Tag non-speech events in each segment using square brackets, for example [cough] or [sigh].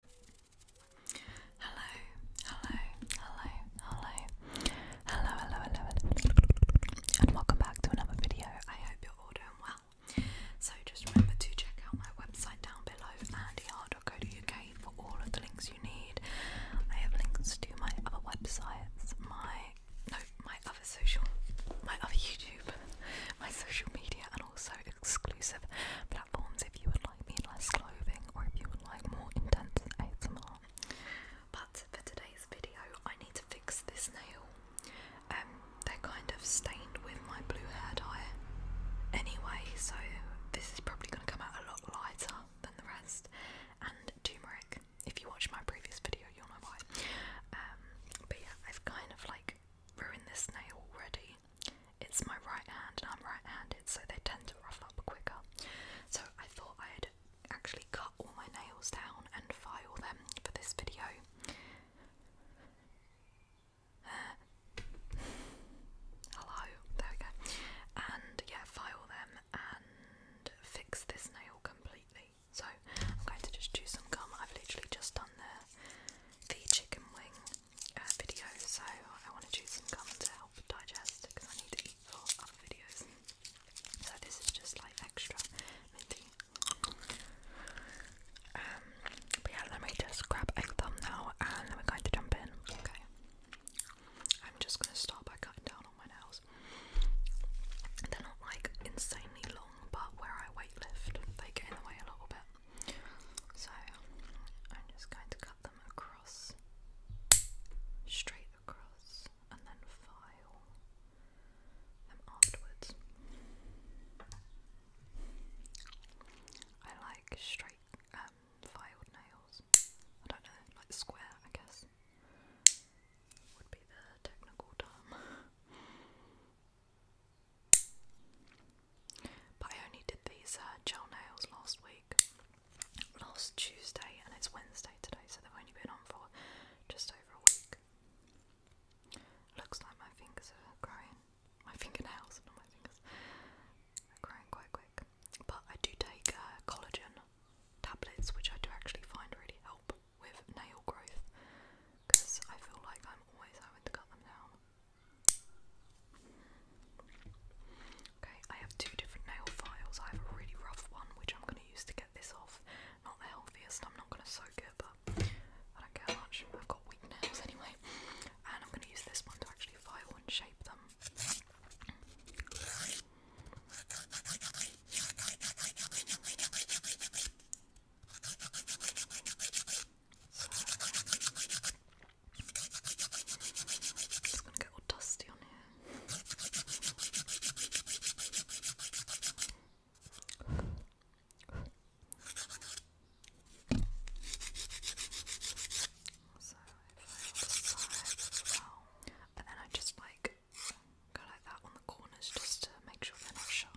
Hello, hello, hello, hello, hello, hello, hello, hello, and welcome back to another video. I hope you're all doing well. So just remember to check out my website down below, andyart.co.uk, for all of the links you need. I have links to my other websites, my no, my other social, my other YouTube, [laughs] my social media, and and also exclusive platforms if you would like me less clothing or if you would like more intense ASMR. But for today's video, I need to fix this nail. Um, they're kind of stained with my blue hair dye anyway, so this is probably going to come out a lot lighter than the rest. And turmeric. If you watched my previous video, you'll know why. Um, but yeah, I've kind of like ruined this nail already it's my right hand and I'm right handed, so they tend to rough up quicker. So I thought I'd actually cut all my nails down and file them for this video. Uh, hello, there we go. And yeah, file them and fix this nail completely. So I'm going to just do some gum. I've literally just done the chicken wing uh, so I want to choose some gum to help digest because I need to eat for other videos. So this is just like extra um, but yeah, let me just grab a thumbnail and then we're going to jump in. Okay. I'm just gonna start by cutting down on my nails. They're not like insanely long, but where I weight lift, they get in the way a little bit. So I'm just going to cut them across, straight across, and then file them afterwards. I like straight um, filed nails. I don't know, like square, I guess, would be the technical term. But I only did these uh, gel nails last week, last Tuesday, and it's Wednesday today, so they've only been on for just over a week. Looks like my fingers are growing, my fingernails, not my fingers, are growing quite quick. But I do take uh, collagen tablets, which I do actually find really help with nail growth, because I feel like I'm always having to cut them down. Okay, I have two different nail files. I have a really rough one which I'm going to use to get this off. Not the healthiest, I'm not going to soak it, but I don't care much. I've got weak nails anyway. And I'm going to use this one to actually file and shape them. It's gonna get all dusty on here. and then I just like go like that on the corners just to make sure they're not sharp.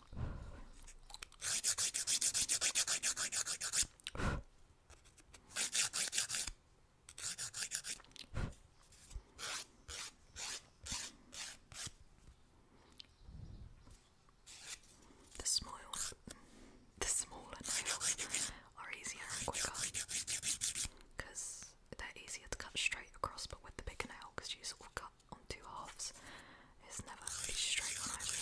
The small, the smaller nails are easier and quicker because they're easier to cut straight across, but with the bigger nail, because you sort of cut on two halves. It's never really straight on either.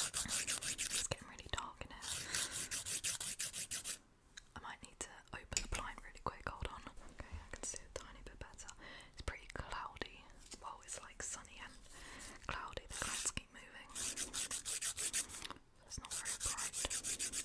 It's getting really dark in here. I might need to open the blind really quick. Hold on. Okay, I can see a tiny bit better. It's pretty cloudy. Well, it's like sunny and cloudy. The clouds keep moving. It's not very bright.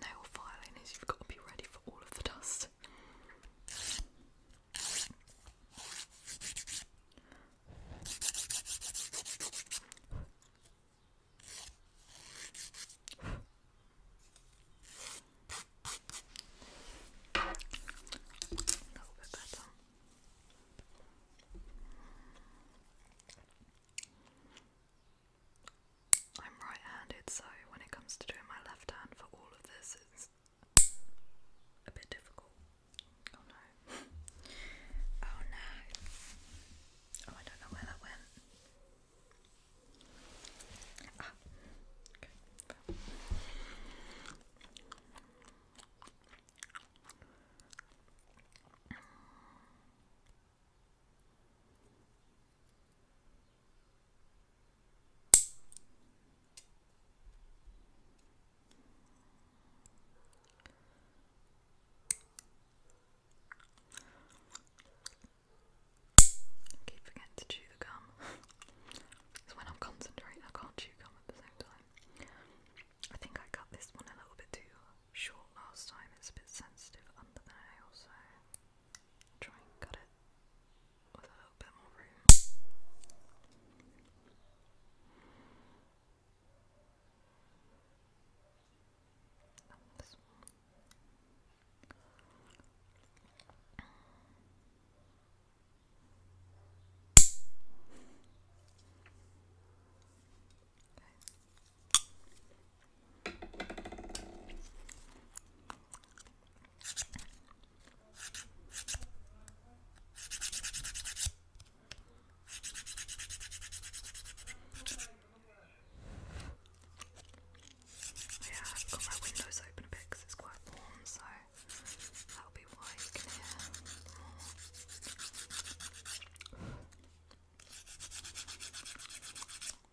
nail filing is you've got to be ready for all of the dust. A little bit better. I'm right-handed, so when it comes to doing my left hand for all of this, it's a bit difficult. Oh no. [laughs] oh no. Oh, I don't know where that went. Ah, I keep forgetting to chew the gum. Because [laughs] when I'm concentrating, I can't chew gum at the same time. I think I cut this one a little bit too short last time. It's a bit sensitive under the nail, Try and cut it with a little bit more room. Okay. Yeah, I've got my windows open a bit it's quite warm, so that'll be why you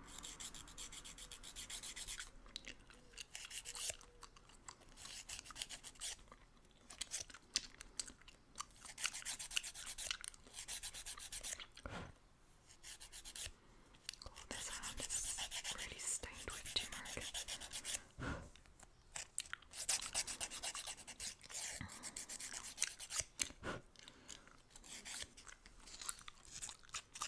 Oh, this hand is really stained with turmeric.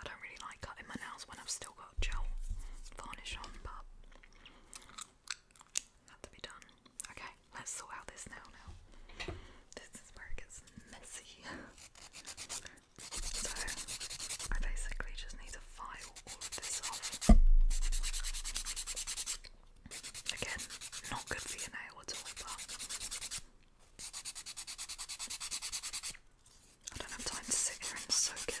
I don't really like cutting my nails when I've still got gel varnish on, but not to be done. Okay, let's sort this nail now. This is gets messy. [laughs] So I basically just need to file all of this off. Again, not good for your nail at all, but I don't have time to sit here and soak it.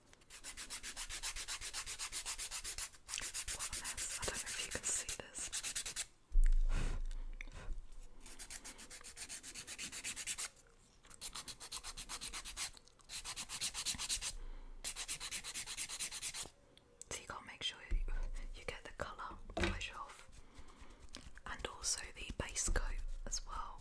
What you can see make sure you, get the colour polish off and also the base coat as well.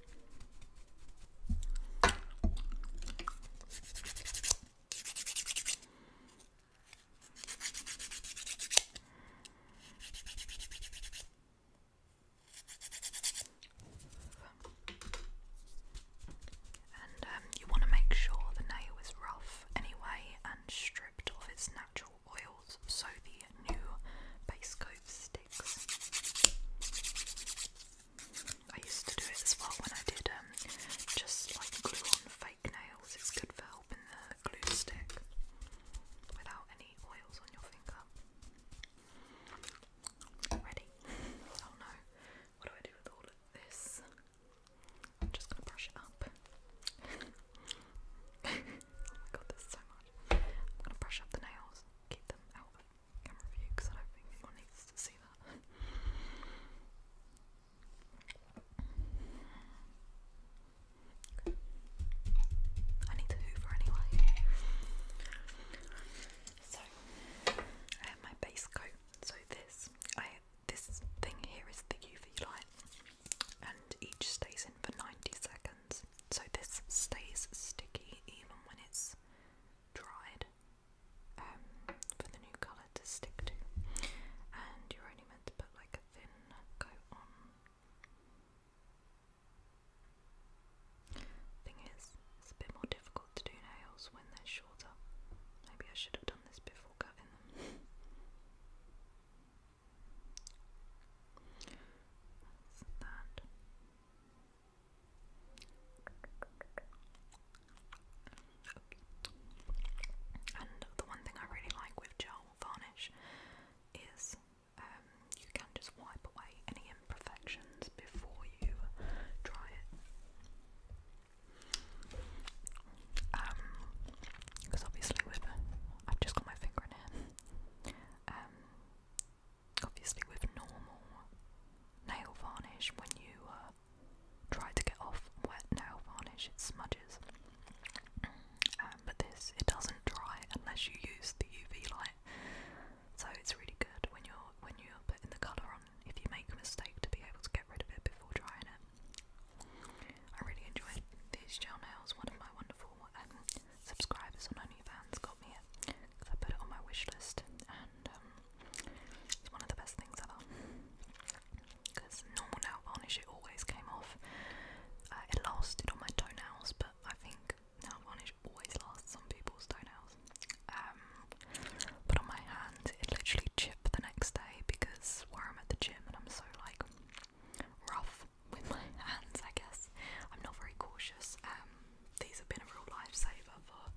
And um, you want to make sure the nail is rough anyway and stripped of its natural oils so the new base coat sticks. I used to do it as well when I did um, just like glue on fake nails. It's good for helping the glue stick without any oils on your finger. Ready? Oh no. What do I do with all of this? I'm just gonna brush it up. [laughs] oh my god, there's so much. I'm gonna brush up the nails, keep them out camera view because I do need to hoover anyway. So I have my base coat. So this, this thing here is the UV light, and each stays in for ninety seconds. So this stays sticky even when it's dried um, for the new colour to stick to. And you're only meant to put like a thin coat on. Thing is, it's a bit more difficult to do nails when they're shorter. Maybe I should have done this before cutting them. that. And the one thing I really like with gel varnish is um, you can just wipe away any imperfections before you dry it. Because um, obviously with, I've just got my finger in obviously with normal nail varnish, when you uh, try to get off wet nail varnish, it smudges. Um, but this, it doesn't dry unless you use the UV light, so it's really good when you're when you're putting the colour on. If you make a mistake, to be able to get rid of it before drying it. I really enjoy these gel nails. One of my wonderful um, subscribers on OnlyFans got me it because I put it on my wish list, and um, it's one of the best things ever because normal nail varnish it always came off. Uh, it lasted on my toenails, but I think nail varnish always lasts on people's toenails. Um, but on my hand, it literally chipped the next day because where I'm at the gym and I'm so like rough with my [laughs] hands, I guess I'm not very cautious. Um, these have been a real lifesaver for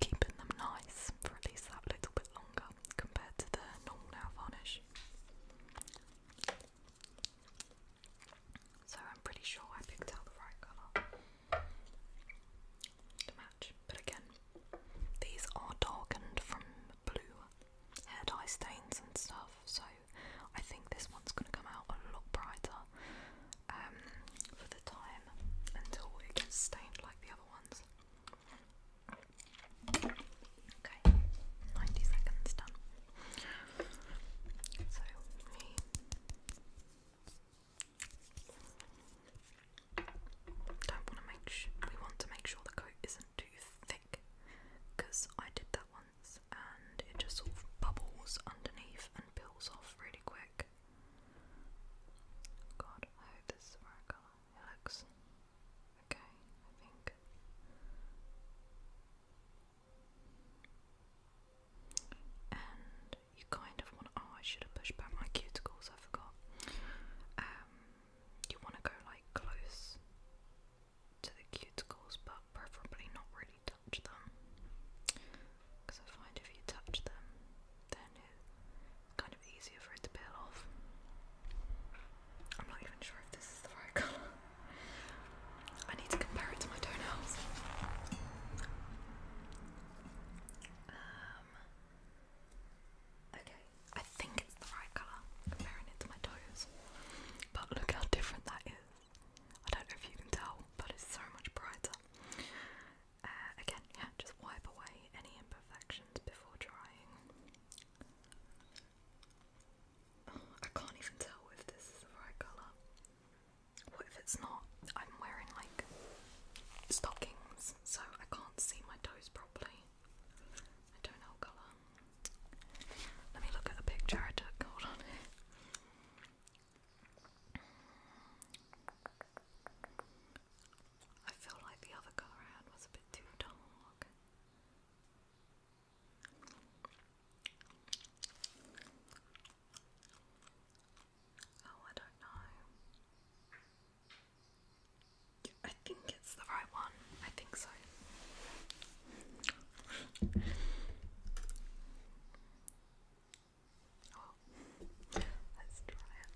keeping them nice for at least that little bit longer compared to the normal nail varnish. So I'm pretty sure I picked out the right colour to match. But again, these are darkened from blue hair dye stains and stuff, so I think this one's going to come out a lot brighter um, for the time until it gets stained like the other ones. Okay, 90 seconds done. So, me. Don't want to make. Sh we want to make sure the coat isn't too thick, because I did that one and it just sort of bubbles underneath and peels off really quick. God, I hope this is the right colour. It looks okay, I think. And you kind of want oh I should have pushed back my cuticles, I forgot. Um you wanna go like close to the cuticles but preferably not really touch them because I find if you touch them, then it's kind of easier for it to peel off. I'm not even sure if this is the right [laughs] colour. I need to compare it to my toenails. Um, okay, I think it's the right colour comparing it to my toes, but look how different that is. I don't know if you can tell, but it's so much brighter. Uh, again, yeah, just wipe away any imperfections before drying. I can't even tell if this is the right colour. What if it's not? I'm wearing like stockings, so I can't see my toes properly. I do colour. Let me look at a picture I took. Hold on. I feel like the other go around was a bit too dark. Oh, I don't know. I think it's the right one. I think so. Oh, let's try it.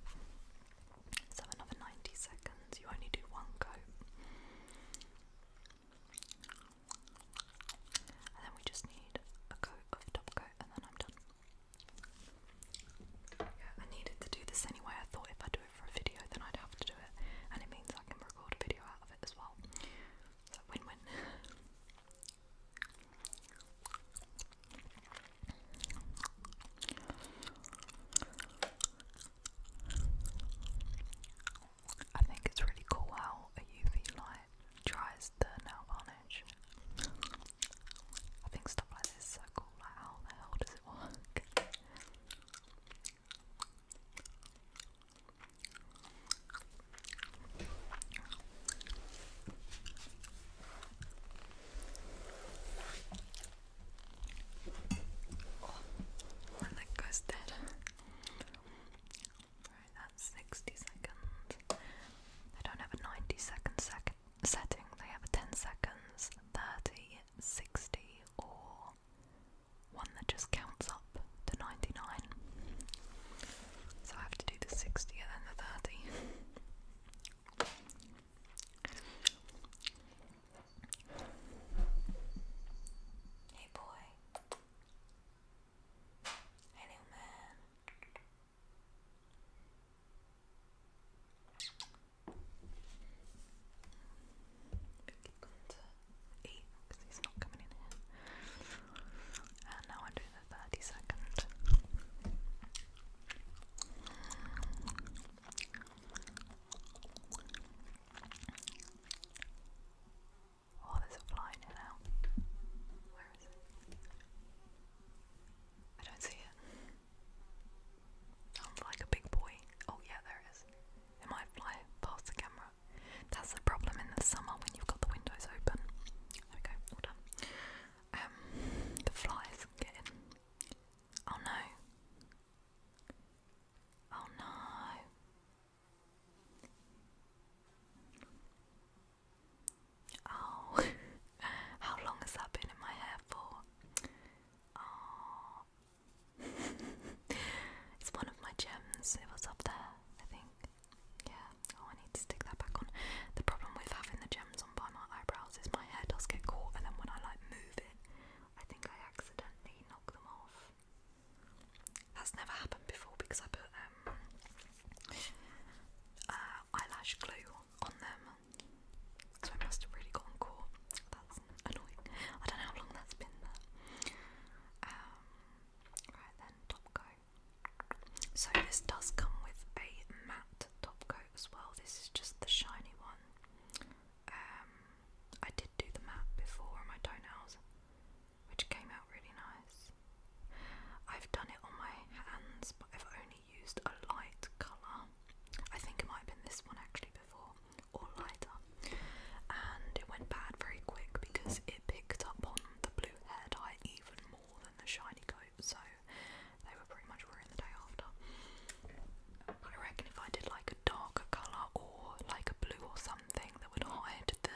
So another 90 seconds, you only do one coat. And then we just need a coat of top coat and then I'm done. I needed to do this anyway. I thought if I do it for a video then I'd have to do it. And it means I can record a video out of it as well. So win-win. [laughs] I think it's really cool how a UV light dries the nail varnish. I think stuff like this is so cool, like how the hell does it work? Oh, that goes dead. Alright, that's 60 seconds. They don't have a 90 second sec setting, they have a 10 seconds, 30, 60, or one that just counts up up 99. So I have to do the 60 and the 30. Hey boy. Hey little man. Keep going and now I'm the thirty second. Oh, there's a fly in here Where is it? I don't see it. Sounds like a big boy. Oh yeah, there is. It might fly past the camera. That's the problem in the summer when you've got the windows open. There we go, all Um, the flies get in. Oh no. Oh no. Oh, [laughs] how long has that been in my hair for? Oh. [laughs] it's one of my gems. It was up there, I think. Yeah, oh I need to stick that back on. The problem with having the gems on by my eyebrows is my hair does get caught and then when I like move it, I think I accidentally knock them off. That's never happened before because I put um, uh, eyelash glue on them. So I must have really gotten caught. That's annoying. I don't know how long that's been Right then, top coat. So this does come with a matte top coat as well. This is just the shiny one. Um, I did do the matte before on my toenails, which came out really nice. I've done it on my hands, but I've only used a light colour. I think it might have been this one actually before, or lighter. And it went bad very quick because it picked up on the blue hair dye even more than the shiny coat, so they were pretty much ruined the day after. I reckon if I did like a darker colour or like a blue or something that would hide the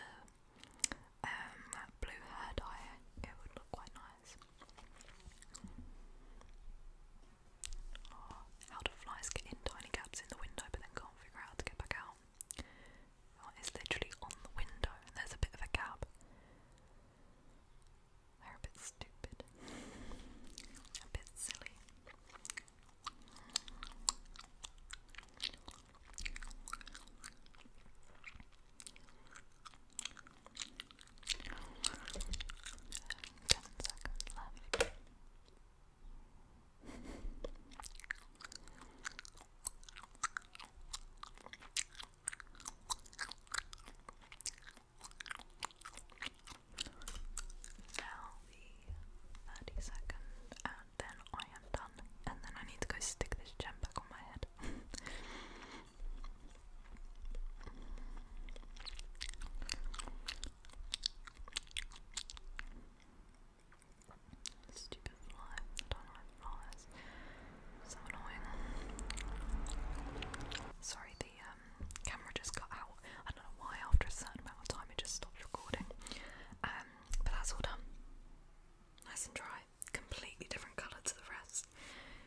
um, blue hair dye, it would look quite nice. Ah, how do flies get in tiny gaps in the window but then can't figure out how to get back out? It's literally on the window, there's a bit of a gap. They're a bit stupid, a bit silly. Ten seconds left. Now the thirty second, and then I am done. And then I need to go stick this gem back on my head. Stupid fly. I don't like flies. So annoying. Sorry, the um, camera just got out. I don't know why. After a certain amount of time, it just stopped recording. Um, but that's all done. Nice and dry. Completely different colour to the rest.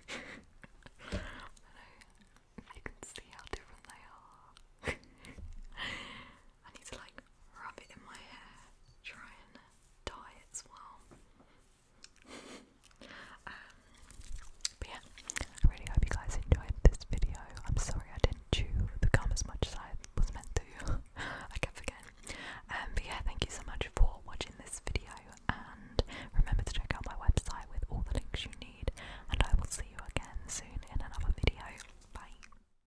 [laughs] I know you can see how different they are. [laughs] I need to like rub it in my hair, try and dye it as well. [laughs] Um, but yeah, I really hope you guys enjoyed this video. I'm sorry I didn't chew the gum as much as I was meant to. [laughs] I can't forget. Um, but yeah, thank you so much for watching this video and remember to check out my website with all the links you need and I will see you again soon in another video. Bye!